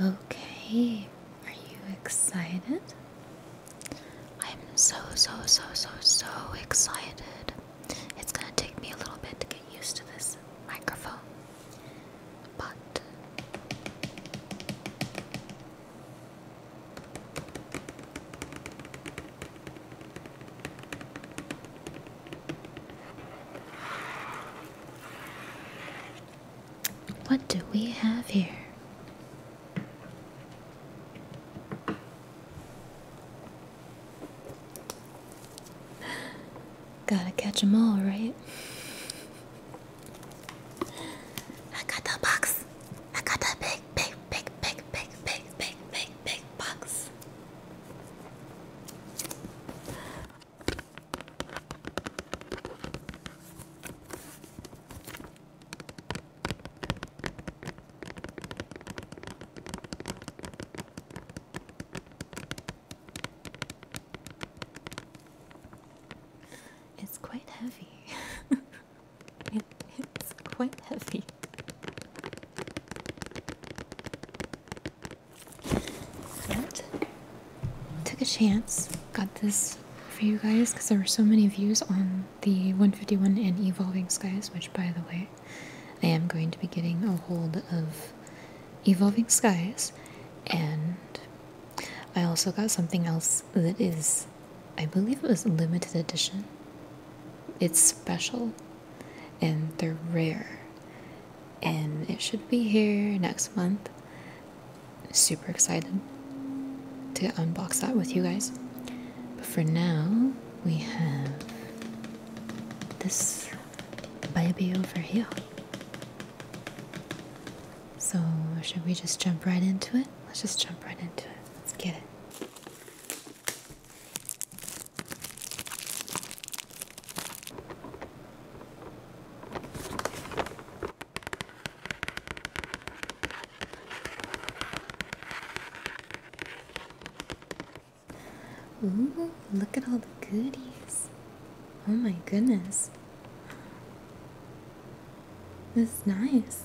Okay, are you excited? I'm so, so, so, so, so excited. It's gonna take me a little bit to get used to this microphone, but what do we have here? Gotta catch them all, right? I got the box. I got the big, big, big, big, big, big, big, big box. It's quite heavy. it, it's quite heavy took a chance, got this for you guys because there were so many views on the 151 and Evolving Skies, which by the way, I am going to be getting a hold of Evolving Skies, and I also got something else that is, I believe it was limited edition. It's special and they're rare and it should be here next month. Super excited to unbox that with you guys. But for now, we have this baby over here. So, should we just jump right into it? Let's just jump right into it. Let's get it. Ooh, look at all the goodies. Oh my goodness. This is nice.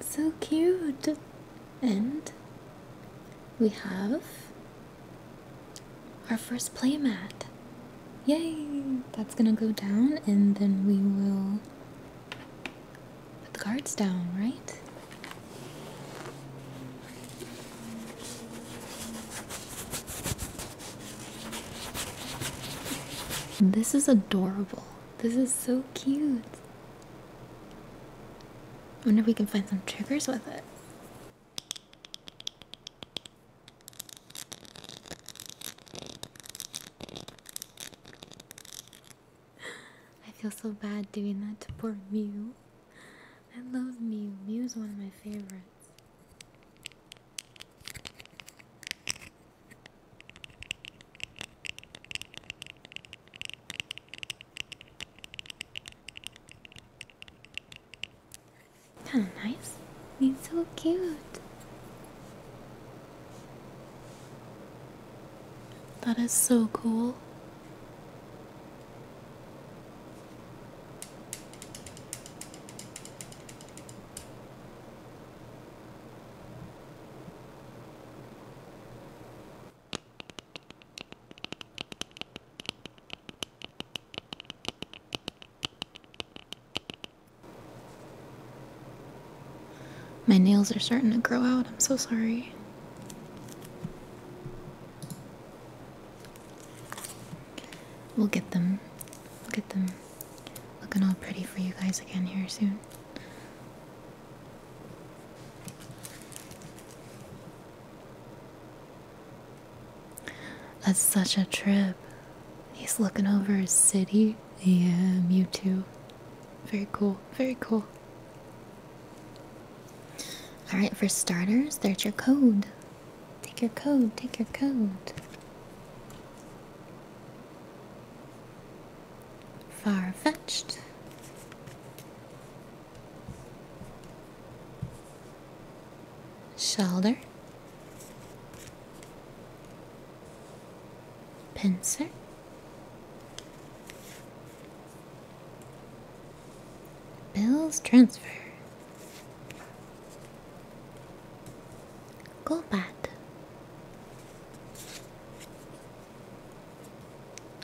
So cute. And we have our first playmat. Yay! That's gonna go down and then we will put the cards down, right? This is adorable. This is so cute. I wonder if we can find some triggers with it. I feel so bad doing that to poor Mew. I love Mew. Mew is one of my favorites. Kind of nice. He's so cute. That is so cool. My nails are starting to grow out. I'm so sorry. We'll get them. We'll get them looking all pretty for you guys again here soon. That's such a trip. He's looking over his city. Yeah, you too. Very cool, very cool. Alright, for starters, there's your code. Take your code, take your code far-fetched. Shoulder, pincer, bills transfer, go bat,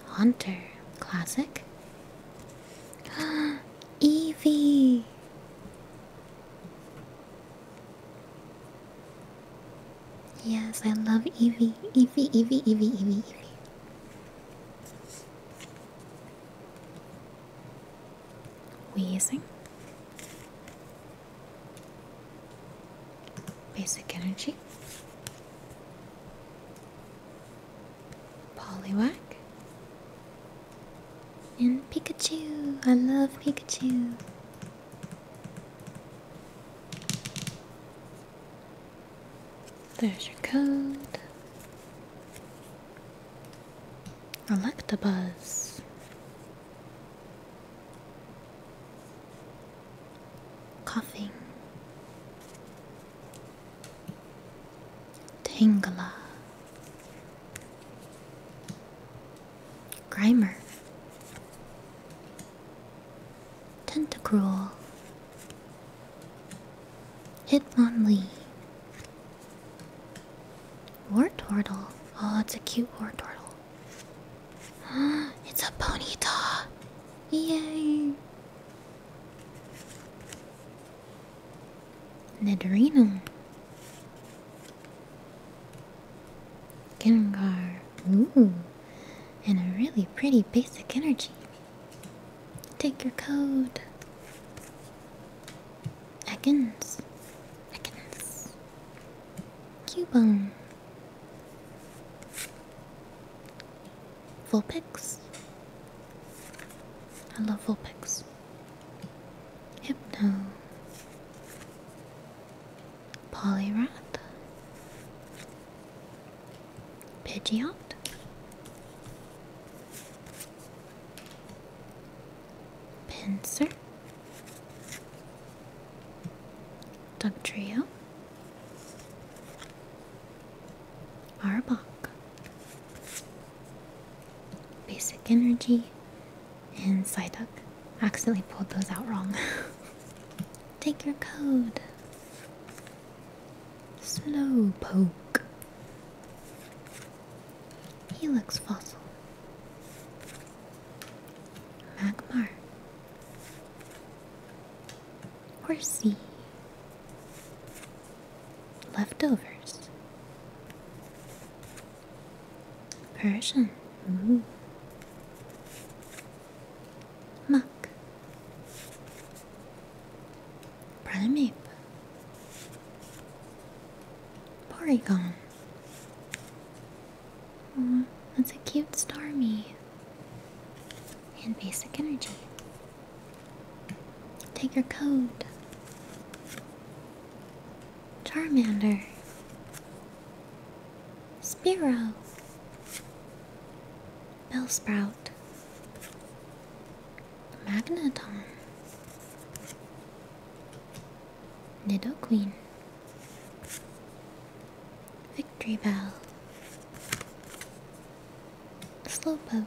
Hunter, classic. Eevee. Yes, I love Evie. Evie. Evie. Evie. Evie. Eevee. Wheezing. Basic Energy, Poliwag, and Pikachu. I love Pikachu. There's your code. Electabuzz coughing, tangler, grimer, tentacruel, hitmonlee, war turtle. Oh, it's a cute war turtle. it's a Ponyta! Yay! Nidorino. Gengar. Ooh. And a really pretty basic energy. Take your code. Ekans. Ekans. Cubone, Vulpix. I love Vulpix. Hypno, Poliwrath, Pidgeot. Pinsir trio, Arbok, Basic Energy, and Psyduck. I accidentally pulled those out wrong. Take your code. Slowpoke. Helix fossil. Magmar or sea leftovers Persian Ooh. Mm-hmm. muck primate Porygon that's a cute Starmie. And basic energy. Take your code. Charmander. Spiro. Bellsprout. Magneton. Nido Queen, Victory Bell, Slowpoke.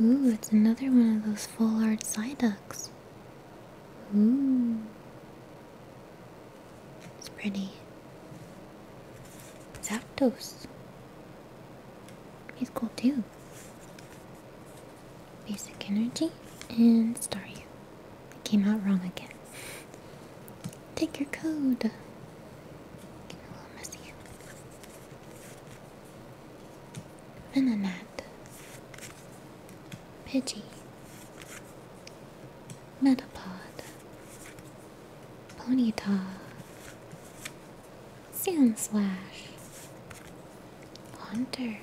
Ooh, it's another one of those full art Psyducks. Ooh. It's pretty. Zapdos. He's cool too. Basic energy and Staryu. I came out wrong again. Take your code. Getting a little messy. Venonat. Pidgey. Metapod. Ponyta. Sand Slash. Hunter.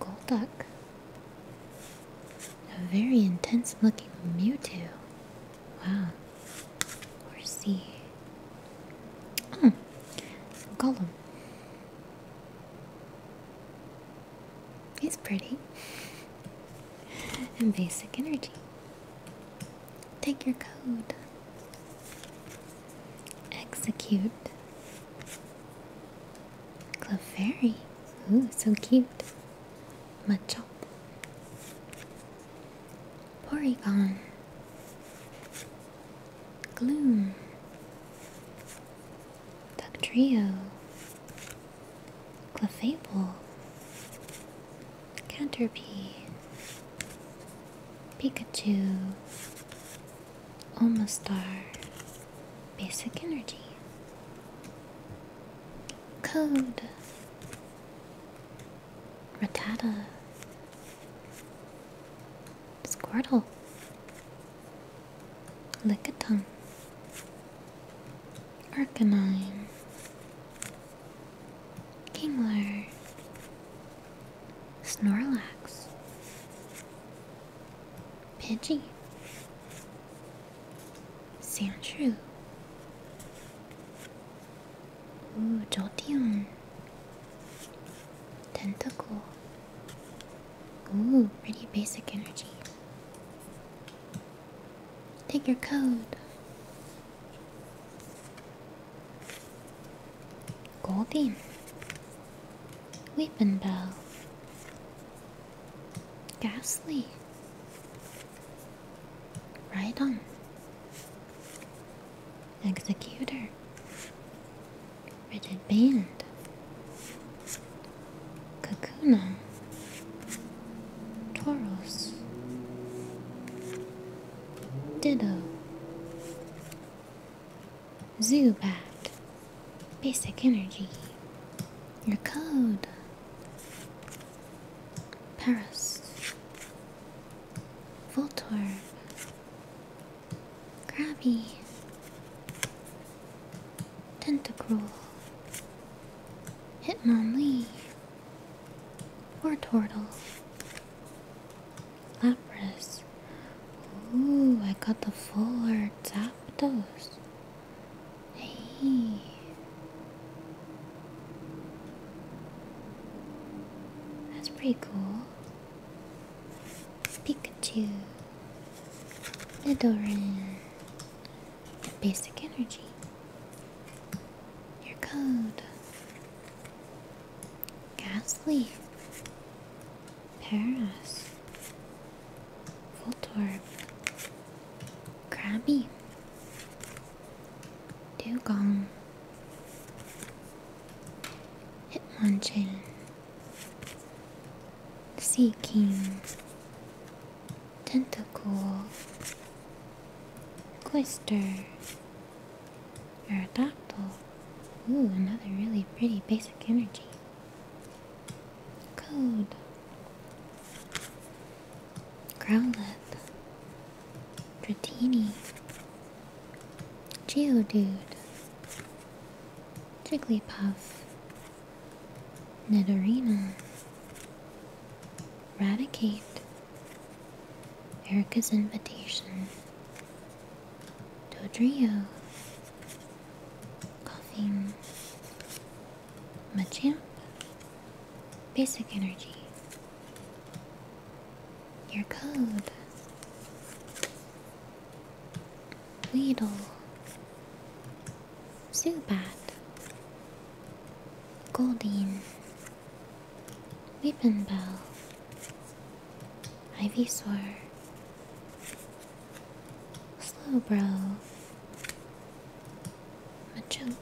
Golduck. A very intense looking Mewtwo. Wow. Or hmm, Oh. Gollum. He's pretty. and basic energy. Take your code. Execute. Clefairy. Ooh, so cute. Machop. Porygon. Gloom. Duck Trio. Clefable. Canterpie. Pikachu. Omastar Basic Energy Code Rotata, Squirtle Lickitung Arcanine Kingler Snorlax, Pidgey, Sandshrew, Ooh, Jolteon, Tentacle, Ooh, pretty basic energy. Take your code. Goldie, Weeping Bell, Ghastly, on, Executor, Rigid Band, Kakuna, Toros, Ditto, Zubat, Basic Energy, Your Code, Paris, Voltorb, Krabby, Tentacruel, Hitmonlee, War Turtle, Lapras. Ooh, I got the fuller Zapdos. Hey. That's pretty cool. Pikachu. Nidoran. Basic energy. Your code. Gasly, Paris, Voltorb. Crabby. Dugong. Hitmonchan. Sea King. Tentacle. Glister. Aerodactyl. Ooh, another really pretty basic energy. Code. Growlithe. Dratini. Geodude. Jigglypuff. Nidorina. Radicate. Erica's invitation to a trio Machamp Basic Energy Your Code Weedle Zubat Goldine Weepin' Bell, Ivysaur, Slowbro, Machoke,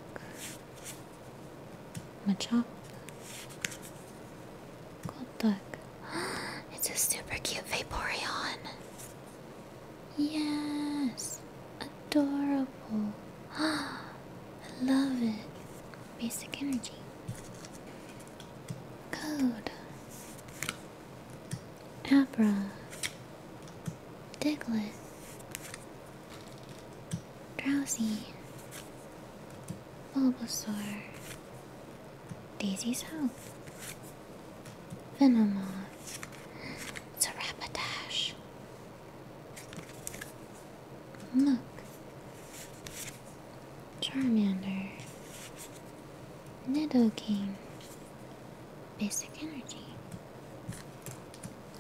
Machop, Golduck. it's a super cute Vaporeon. Yes, adorable. I love it. Basic energy. Code. Abra. Diglett. Drowsy. Bulbasaur. Daisy's House. Venomoth. It's a Rapidash. Look. Charmander. Nidoking. Basic Energy.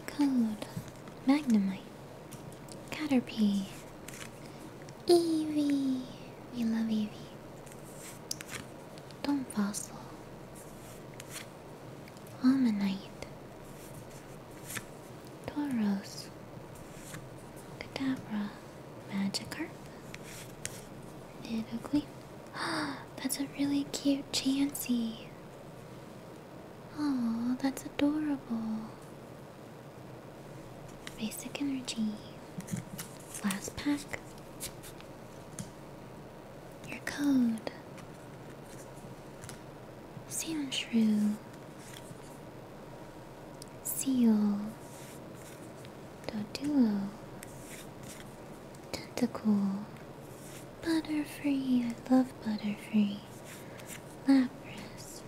Code, Magnemite. Caterpie. Eevee. We love Eevee. Dome Fossil. Almanite. Tauros, Kadabra, Magikarp, Nidoqueen. that's a really cute Chansey. Oh, that's adorable. Basic energy. Last pack. Your code. Sound shrew, seal, doduo, tentacle, butterfree. I love butterfree. Lapras,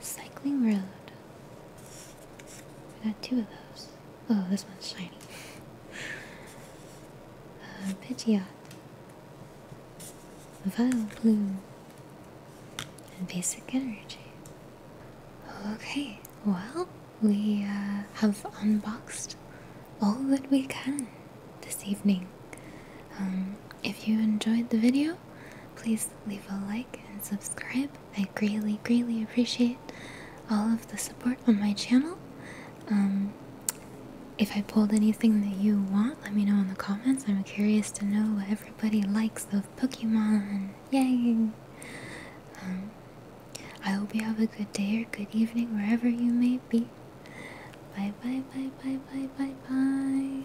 cycling road. I got two of those. Oh, this one's shiny. Uh, Pidgeot, Violet Blue, and Basic Energy. Okay, well, we uh, have unboxed all that we can this evening. Um, if you enjoyed the video, please leave a like and subscribe. I greatly, greatly appreciate all of the support on my channel. Um, if I pulled anything that you want, let me know in the comments. I'm curious to know what everybody likes of Pokemon. Yay! Um, I hope you have a good day or good evening wherever you may be. Bye bye bye bye bye bye bye.